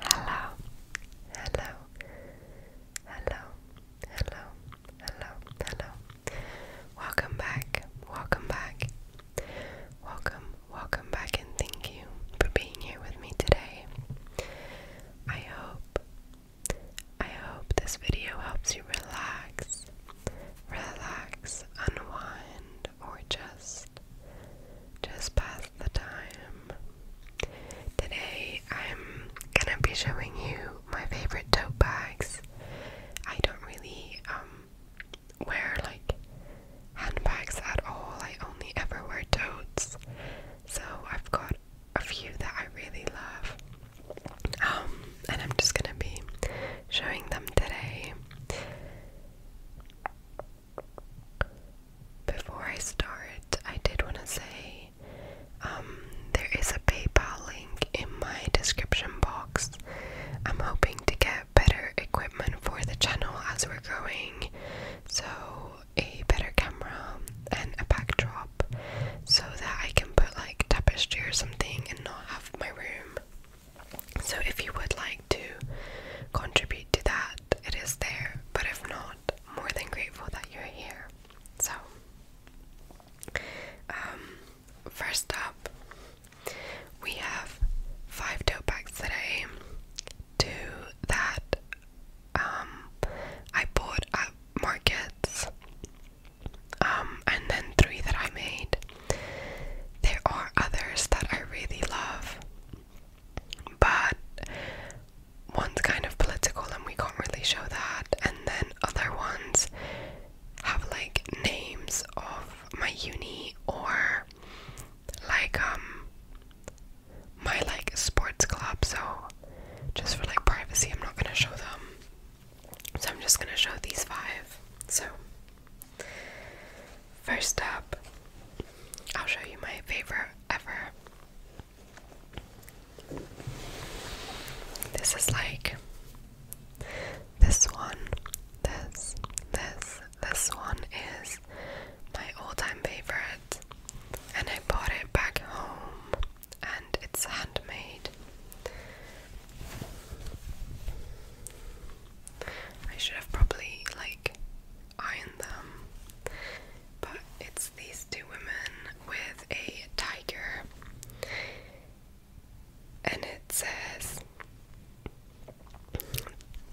Hello, hello, hello, hello, hello, hello. Welcome back, welcome back, welcome, welcome back, and thank you for being here with me today. I hope, I hope this video helps you relax, relax, unwind, or just just pass the time. Today I'm gonna be showing you my favorite tote bags. I don't really um wear like handbags at all. I only ever wear totes. So I've got a few that I really love. Um, and I'm just gonna be showing them today. Before I start, I did want to say um, there is a PayPal link in my description box. I'm hoping to get better equipment for the channel as we're growing, so a better camera and a backdrop so that I can put like tapestry or something and not have my room so if you would like to contribute to that, it is there. But if not, more than grateful that you're here. So, um, first up, we have five tote bags today. Two that um, I bought at markets, um, and then three that I made. There are others that I really love, but one's kind of political and we can't really show that, and then other ones have like names of my uni or like um my like sports club, so just for like privacy, I'm not gonna show them. So I'm just gonna show these five. So First up, I'll show you my favorite ever. This is like this one, this, this, this one is my all time favorite, and I bought it back home, and it's handmade. I should have probably like ironed them, but it's these two women with a tiger, and it says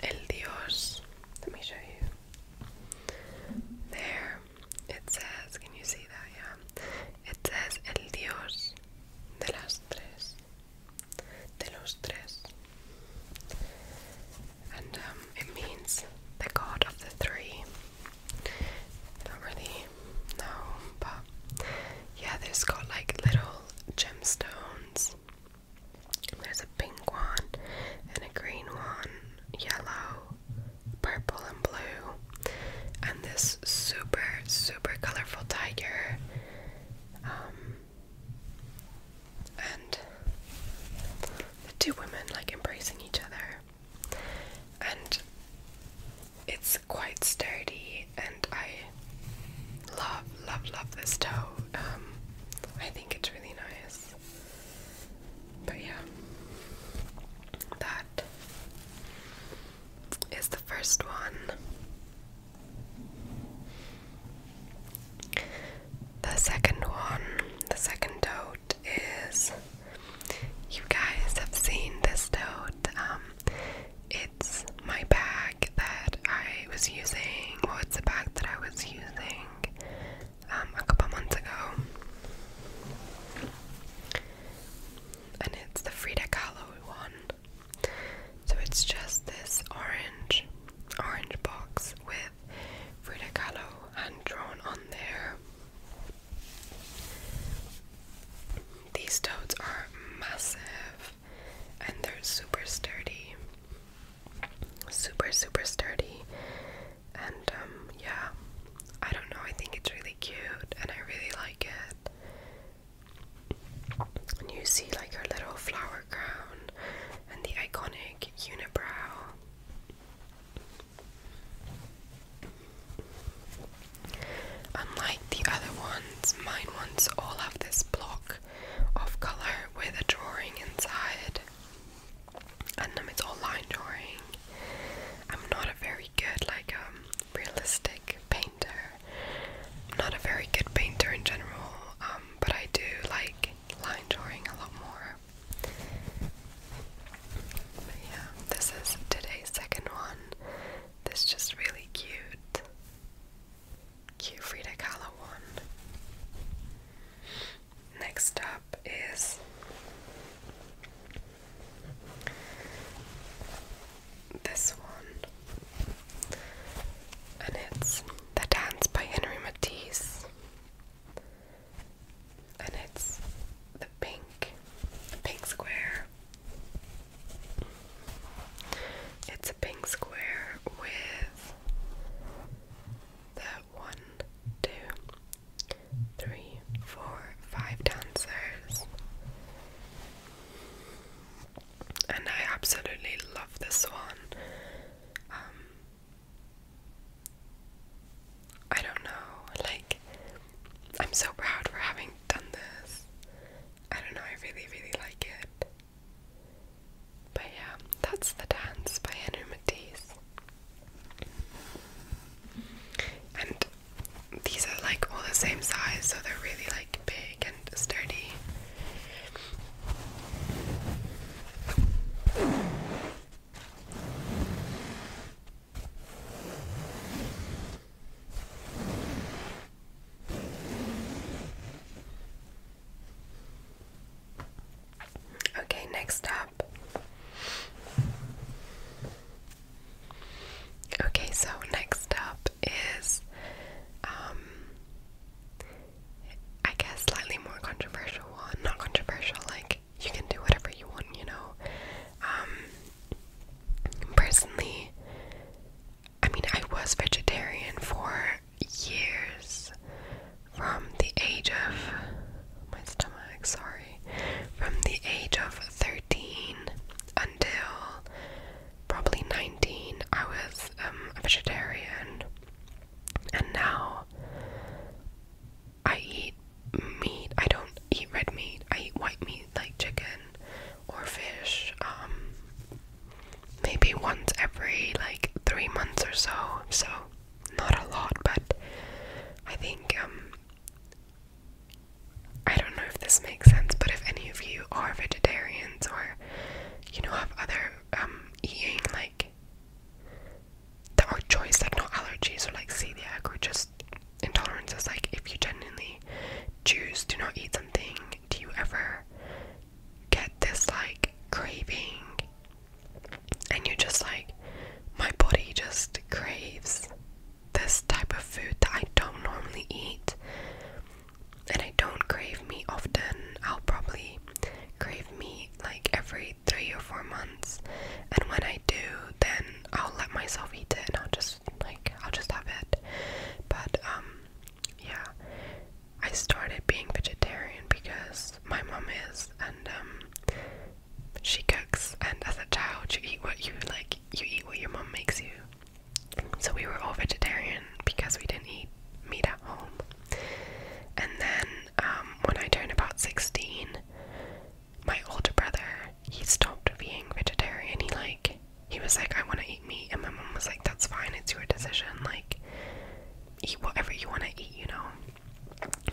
El Dios. Let me show you. There, it says, can you see that? Yeah, it says El Dios de las Tres de los tres. And um, it means the god of the three. Not really, no, but yeah, there's got like little gemstones. There's a pink one, and a green one, yellow, purple, and blue. And this super, super colorful tiger um, and two women like embracing each other, and it's quite sturdy. And I love, love, love this toe. Um, I think it's really nice. But yeah, that is the first one. The second one, the second toad is you guys have seen this toad. Um, it's my bag that I was using. What's it's a bag that I was using um, a couple months ago, and it's the Frida Kahlo one. So it's just this orange, orange box with Frida hand drawn on there. These toads are massive and they're super sturdy. Super, super sturdy. And um, yeah, I don't know, I think it's really cute and I really like it. And you see like her little flower crown and the iconic unibrow. Unlike the other ones, mine ones all have this block of colour with a drawing inside. And um, it's all line drawing. I'm not a very good like um, realistic painter. I'm not a very good painter in general, um, but I do like line drawing a lot more. But yeah, this is today's second one. This is just really cute. Cute Frida Kahlo one. Next up is this one, and it's The Dance by Henry Matisse, and it's the pink, the pink square. It's a pink square with the one, two, three, four, five dancers and I absolutely love this one. Um, I don't know, like, I'm so proud for having done this. I don't know, I really, really like it. But yeah, that's The Dance by Henry Matisse. And these are like all the same size, so they're really like big and sturdy. Okay, next up Okay, so next up is, um, I guess slightly more controversial one. Not controversial, like you can do whatever you want, you know. Um, personally, I mean, I was vegetarian for years from the age of my stomach, sorry, from the age of 13 13 until probably 19, I was um, a vegetarian, and now I eat meat. I don't eat red meat. I eat white meat like chicken or fish. Um, maybe once every like three months or so. So not a lot, but I think um, I don't know if this makes sense, but if any of you are vegetarians or you know have other um eating like there are choice, like no allergies or like celiac or just intolerances, like if you genuinely choose to not eat something, do you ever get this like craving? And you're just like, my body just craves this type of food that I don't normally eat and I don't crave meat often. I'll probably crave meat like every three or four months and when I do then I'll let myself eat it and I'll just like I'll just have it. But um yeah. I started being vegetarian because my mom is and um she cooks and as a child you eat what you like you eat what your mom makes you. So we were all vegetarian because we didn't eat meat at home. And then um, when I turned about 16, my older brother, he stopped being vegetarian. He like he was like, I want to eat meat, and my mom was like, That's fine, it's your decision. Like, eat whatever you want to eat, you know.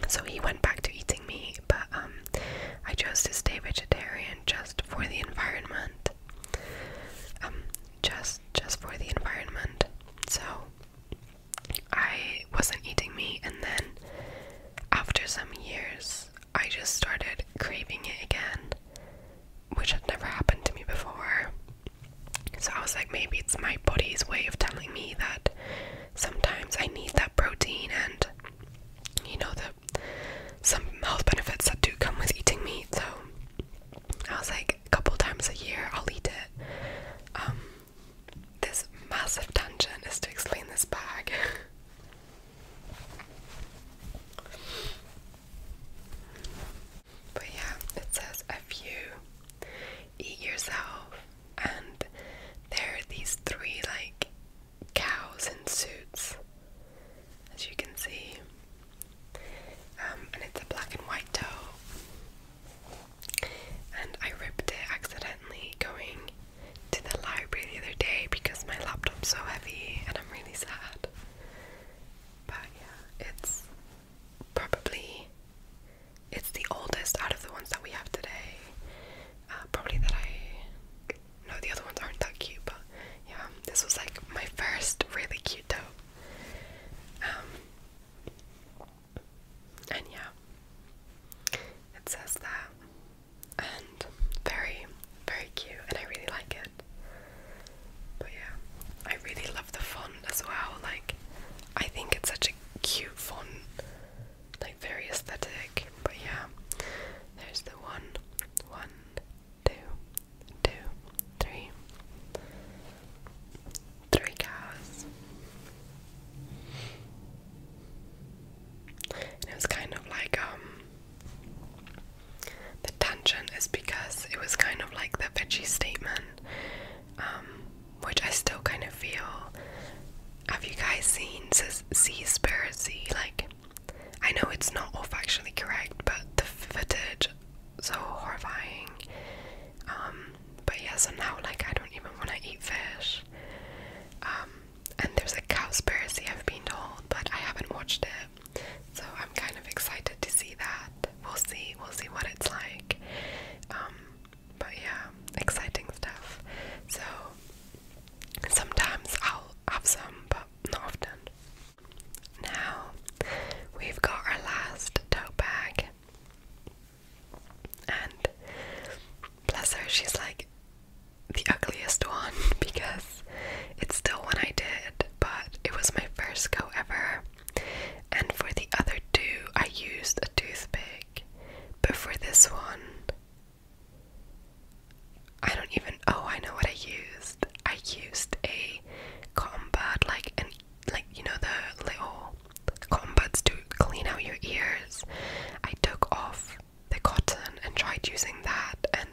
So he went back to eating meat, but um, I chose to stay vegetarian just for the environment. Um, just just for the environment. So I wasn't eating meat and then after some years I just started craving it again, which had never happened to me before. So I was like, maybe it's my body's way of telling me that sometimes I need that protein and you know that some health benefits that do come with eating meat, so I was like, a couple times a year I'll eat it. Um, this massive tangent is to explain this bag. but yeah, it says if you eat yourself, and there are these three like cows in suits, as you can see, um, and it's a black and white toe. And I ripped it accidentally going to the library the other day because my laptop's so heavy, and I'm really sad. But yeah, it's probably it's the oldest out of the ones that we have today. Uh, probably that I no, the other ones aren't that cute, but yeah, this was like my first really cute dough. Um, and yeah, it says that, and very, very cute, and I really like it. But yeah, I really love the font as well. Like, I think it's such a cute font like very aesthetic. But yeah, there's the one, one, two, two, three, three cows. it was kind of like um the tension is because it was kind of like the veggie statement, um, which I still kind of feel. Have you guys seen Seaspiracy? Like I know it's not all factually correct, but the footage so horrifying. Um, but yeah, so now like I don't even want to eat fish. Um, and there's a cowspiracy I've been told, but I haven't watched it, so I'm kind of excited to see that. We'll see, we'll see what it's like. Um, but yeah, exciting stuff. So Sometimes I'll have some, but not often. Now we've got our last tote bag, and bless her, she's like the ugliest one because it's still one I did, but it was my first go ever. And for the other two, I used a toothpick, but for this one, I don't even oh I know what I used. I used a cotton like and like you know the little cotton to clean out your ears. I took off the cotton and tried using that and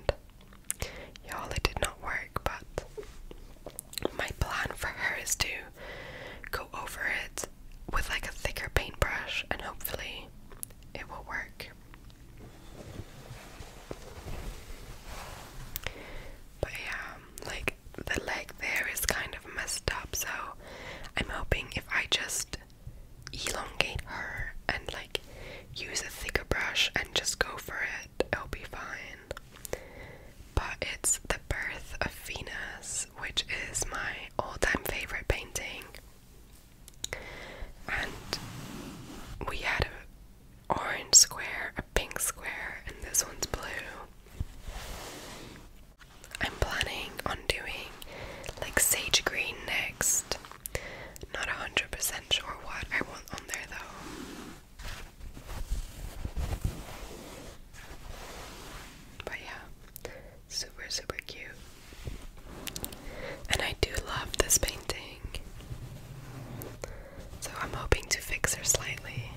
y'all it did not work but my plan for her is to go over it with like a thicker paintbrush and hopefully it will work. But yeah, like the leg there is kind of messed up, so I'm hoping if I just elongate her and like use a thicker brush and just go for it, it'll be fine. But it's The Birth of Venus, which is my all time favorite painting. And we had an orange square, a pink square, and this one's blue. I'm planning on doing like sage green next. Not 100% sure what I want on there though. But yeah, Super, super cute. And I do love this painting. So I'm hoping to fix her slightly.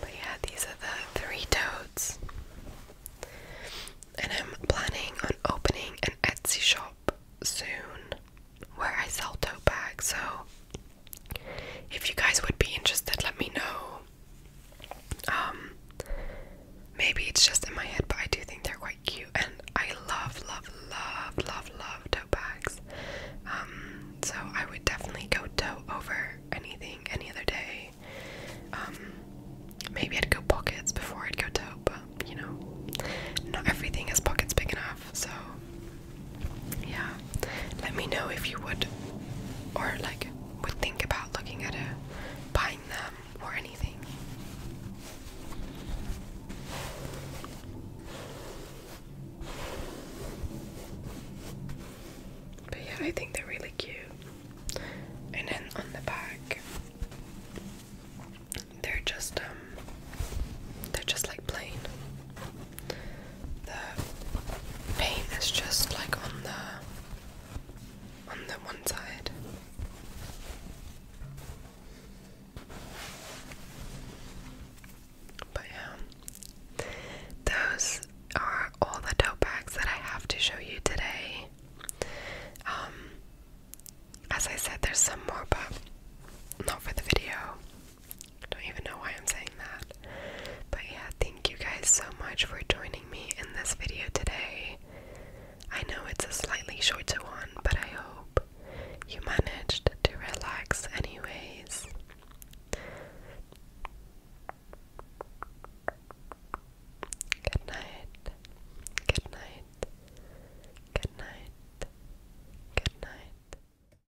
But yeah, these are the three toads. And I'm planning on opening an Etsy shop soon where I sell tote bags. So if you guys would be interested, let me know. Um, maybe it's just in my head, but I do think they're quite cute, and I love, love, love, love, love tote bags. Um, so I would definitely go tote over anything any other day. Um, maybe I'd go pockets before I'd go tote, but you know, not everything has pockets big enough, so yeah let me know if you would or like would think about looking at a buying them or anything but yeah I think they're really cute and then on the back they're just um they're just like plain the paint is just like on the on the one side. But yeah, those are all the tote bags that I have to show you today. Um, as I said, there's some more, but not for the video. I don't even know why I'm saying that. But yeah, thank you guys so much for joining me in this video today. I know it's a slightly shorter one, but I hope you managed to relax anyways. Good night. Good night. Good night. Good night.